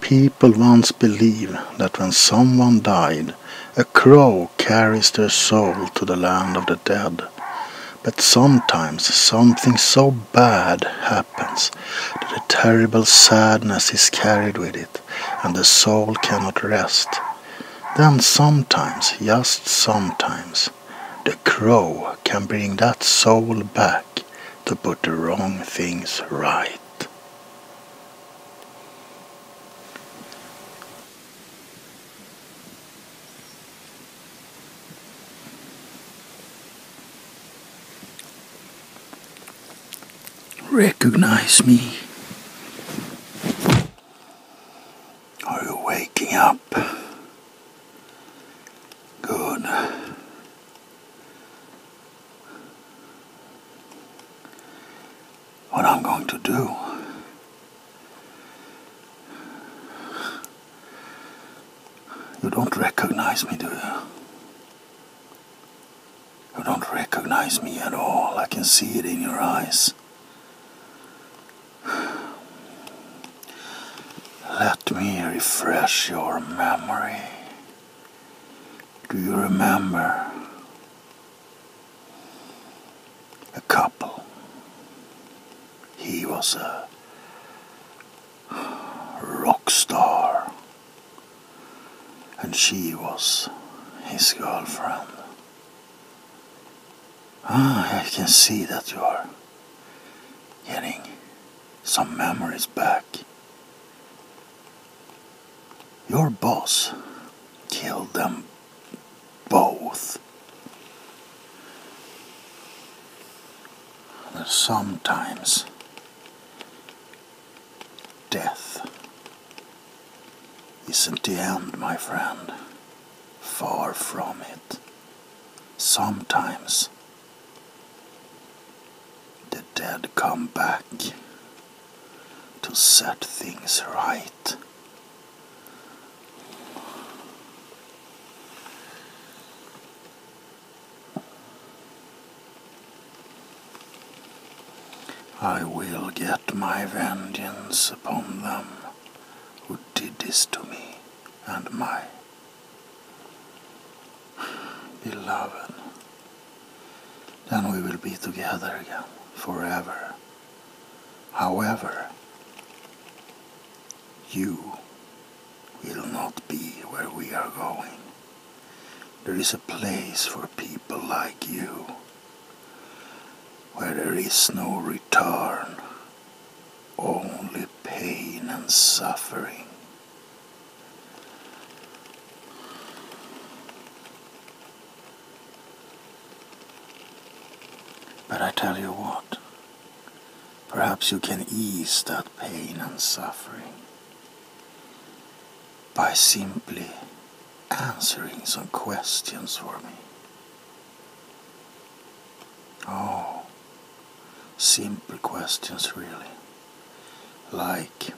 People once believed that when someone died, a crow carries their soul to the land of the dead. But sometimes something so bad happens that a terrible sadness is carried with it and the soul cannot rest. Then sometimes, just sometimes, the crow can bring that soul back to put the wrong things right. Recognize me. Are oh, you waking up? Good. What I'm going to do You don't recognize me, do you? You don't recognize me at all. I can see it in your eyes. Let me refresh your memory. Do you remember a couple? He was a rock star, and she was his girlfriend. Ah, I can see that you are getting some memories back. Your boss killed them both. sometimes death isn't the end, my friend. Far from it. Sometimes the dead come back to set things right. I will get my vengeance upon them who did this to me and my beloved. Then we will be together again forever. However, you will not be where we are going. There is a place for people like you where there is no return, only pain and suffering. But I tell you what, perhaps you can ease that pain and suffering by simply answering some questions for me. Oh, simple questions, really. Like,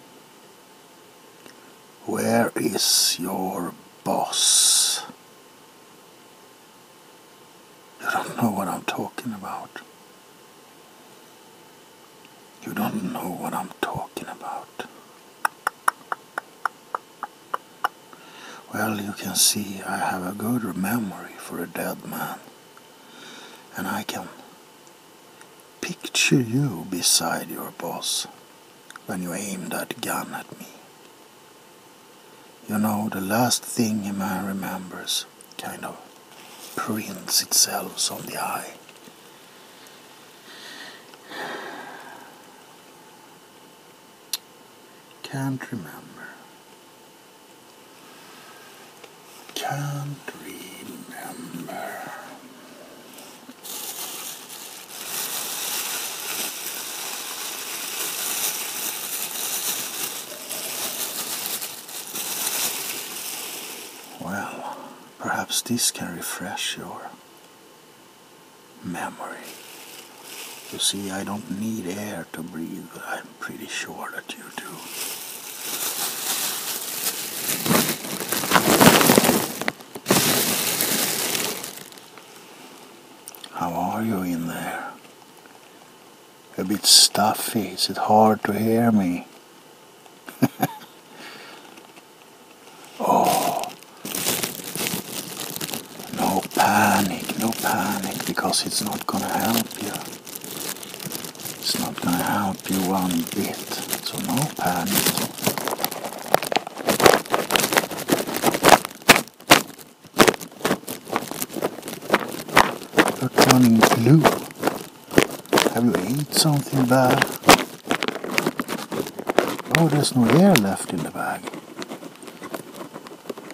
where is your boss? You don't know what I'm talking about. You don't know what I'm talking about. Well, you can see I have a good memory for a dead man. And I can picture you beside your boss when you aimed that gun at me. You know, the last thing a man remembers kind of prints itself on the eye. Can't remember. Can't remember. Well, perhaps this can refresh your memory. You see, I don't need air to breathe, I'm pretty sure that you do. How are you in there? A bit stuffy. Is it hard to hear me? Oh, no panic, no panic, because it's not gonna help you. It's not gonna help you one bit, so no panic. You're turning blue. Have you eaten something bad? Oh, there's no air left in the bag.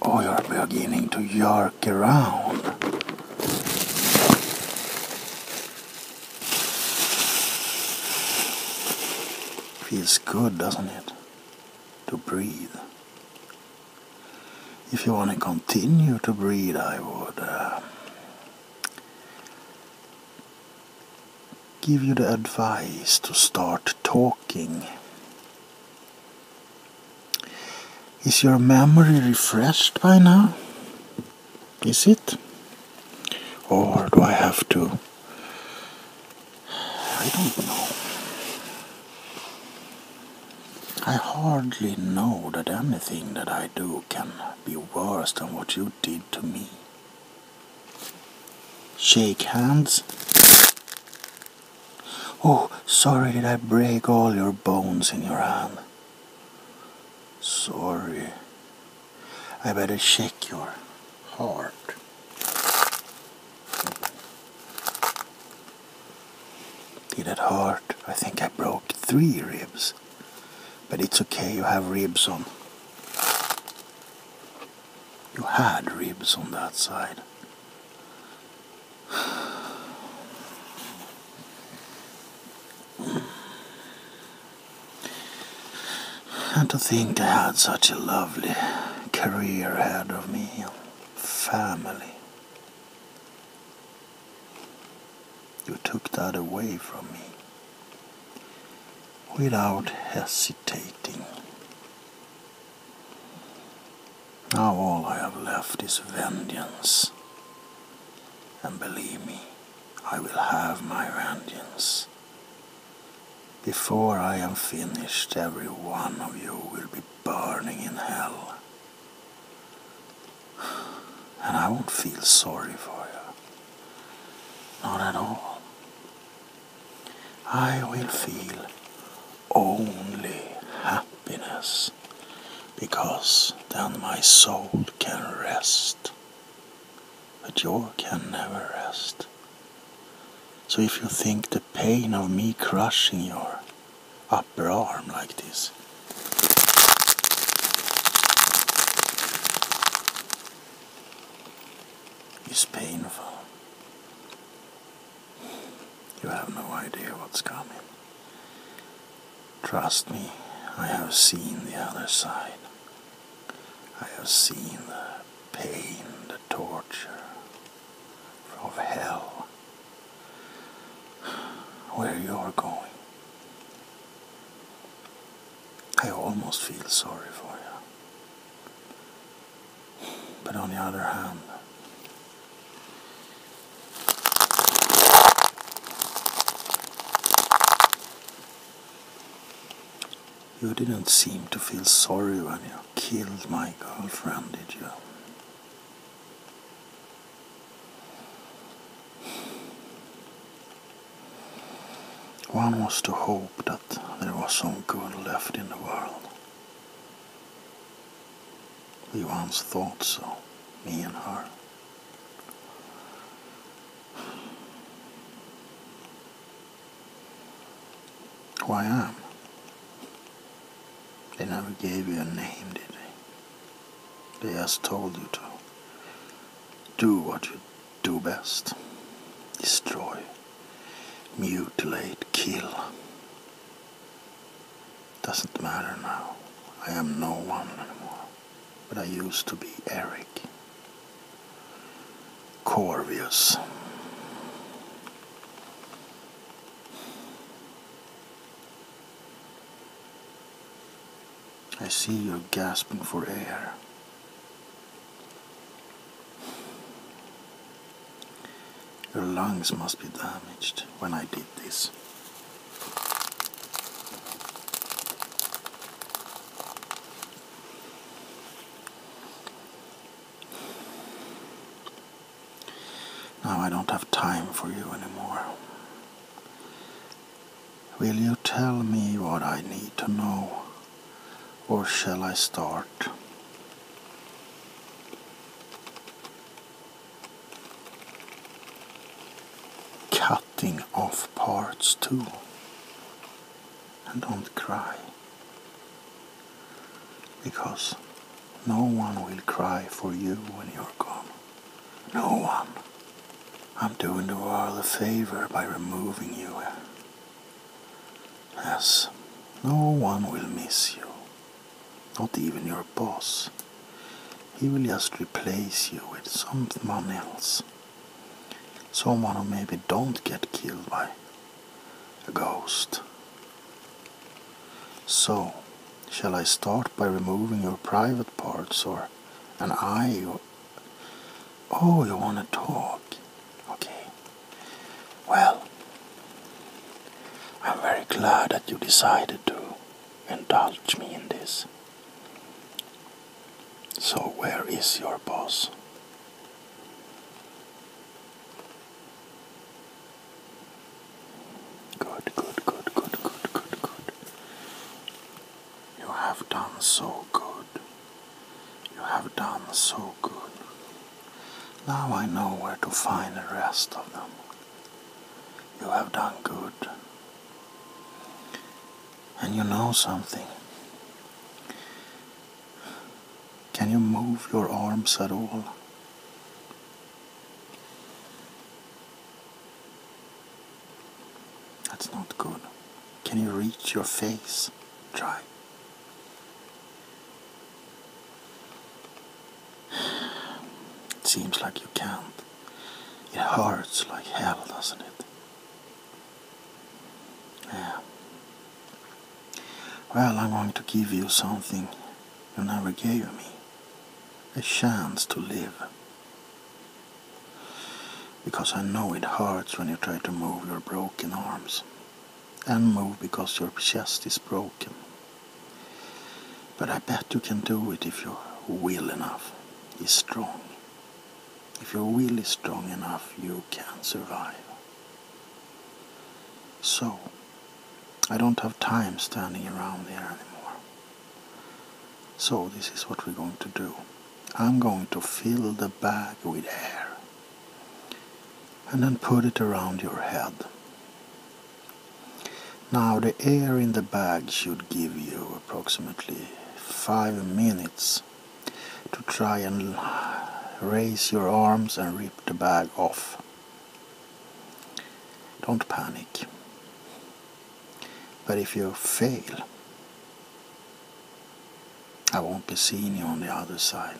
Oh, you're beginning to jerk around. Feels good, doesn't it? To breathe. If you want to continue to breathe, I would. Uh, give you the advice to start talking. Is your memory refreshed by now? Is it? Or do I have to? I don't know. I hardly know that anything that I do can be worse than what you did to me. Shake hands. Oh, sorry did I break all your bones in your hand. Sorry. I better shake your heart. Did at heart, I think I broke three ribs. But it's okay, you have ribs on. You had ribs on that side. And to think I had such a lovely career ahead of me, family. You took that away from me without hesitating. Now all I have left is vengeance. And believe me, I will have my vengeance. Before I am finished, every one of you will be burning in hell. And I won't feel sorry for you. Not at all. I will feel only happiness because then my soul can rest. But yours can never rest. So if you think the pain of me crushing your upper arm like this it's painful. You have no idea what's coming. Trust me, I have seen the other side. I have seen the pain, the torture of hell. Where you're going. I almost feel sorry for you. But on the other hand, You didn't seem to feel sorry when you killed my girlfriend, did you? One was to hope that there was some good left in the world. We once thought so, me and her. Who I am. They never gave you a name, did they? He has told you to do what you do best destroy, mutilate, kill. Doesn't matter now. I am no one anymore. But I used to be Eric. Corvius. I see you're gasping for air. Your lungs must be damaged when I did this. Now I don't have time for you anymore. Will you tell me what I need to know, or shall I start? Cutting off parts too, and don't cry, because no one will cry for you when you're gone. No, one. I'm doing the world a favor by removing you. Yes, no one will miss you. Not even your boss. He will just replace you with someone else. Someone who maybe don't get killed by a ghost. So, Shall I start by removing your private parts or an eye? oh, you want to talk? Okay. Well, I'm very glad that you decided to indulge me in this. So, where is your boss? Good, good, good, good, good, good, You have done so good. You have done so good. Now I know where to find the rest of them. You have done good. And you know something. Can you move your arms at all? That's not good. Can you reach your face? Try. It seems like you can't. It hurts like hell, doesn't it? Yeah. Well, I'm going to give you something you never gave me a chance to live. Because I know it hurts when you try to move your broken arms and move because your chest is broken. But I bet you can do it if you're will enough is strong. If your will is strong enough, you can survive. So, I don't have time standing around here anymore. So this is what we're going to do. I'm going to fill the bag with air and then put it around your head. Now the air in the bag should give you approximately 5 minutes to try and raise your arms and rip the bag off. Don't panic. But if you fail, I won't be seeing you on the other side.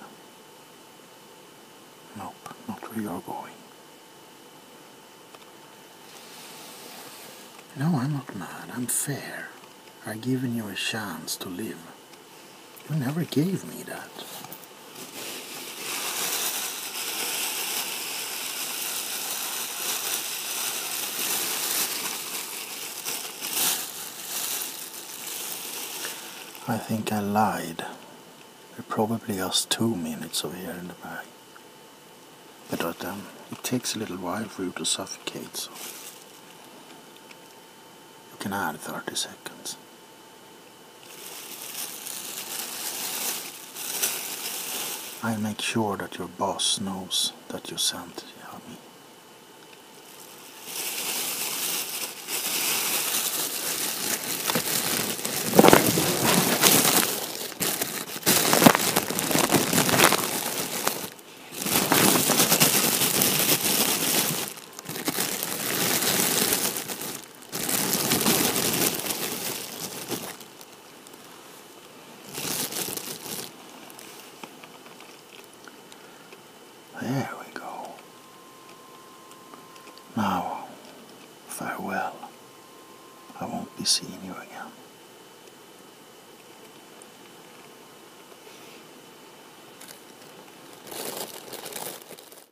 Nope, not where you're going. No, I'm not mad. I'm fair. I've given you a chance to live. You never gave me that. I think I lied. There probably just two minutes over here in the bag. But um, it takes a little while for you to suffocate, so you can add 30 seconds. I'll make sure that your boss knows that you sent me. There we go. Now, farewell. I won't be seeing you again.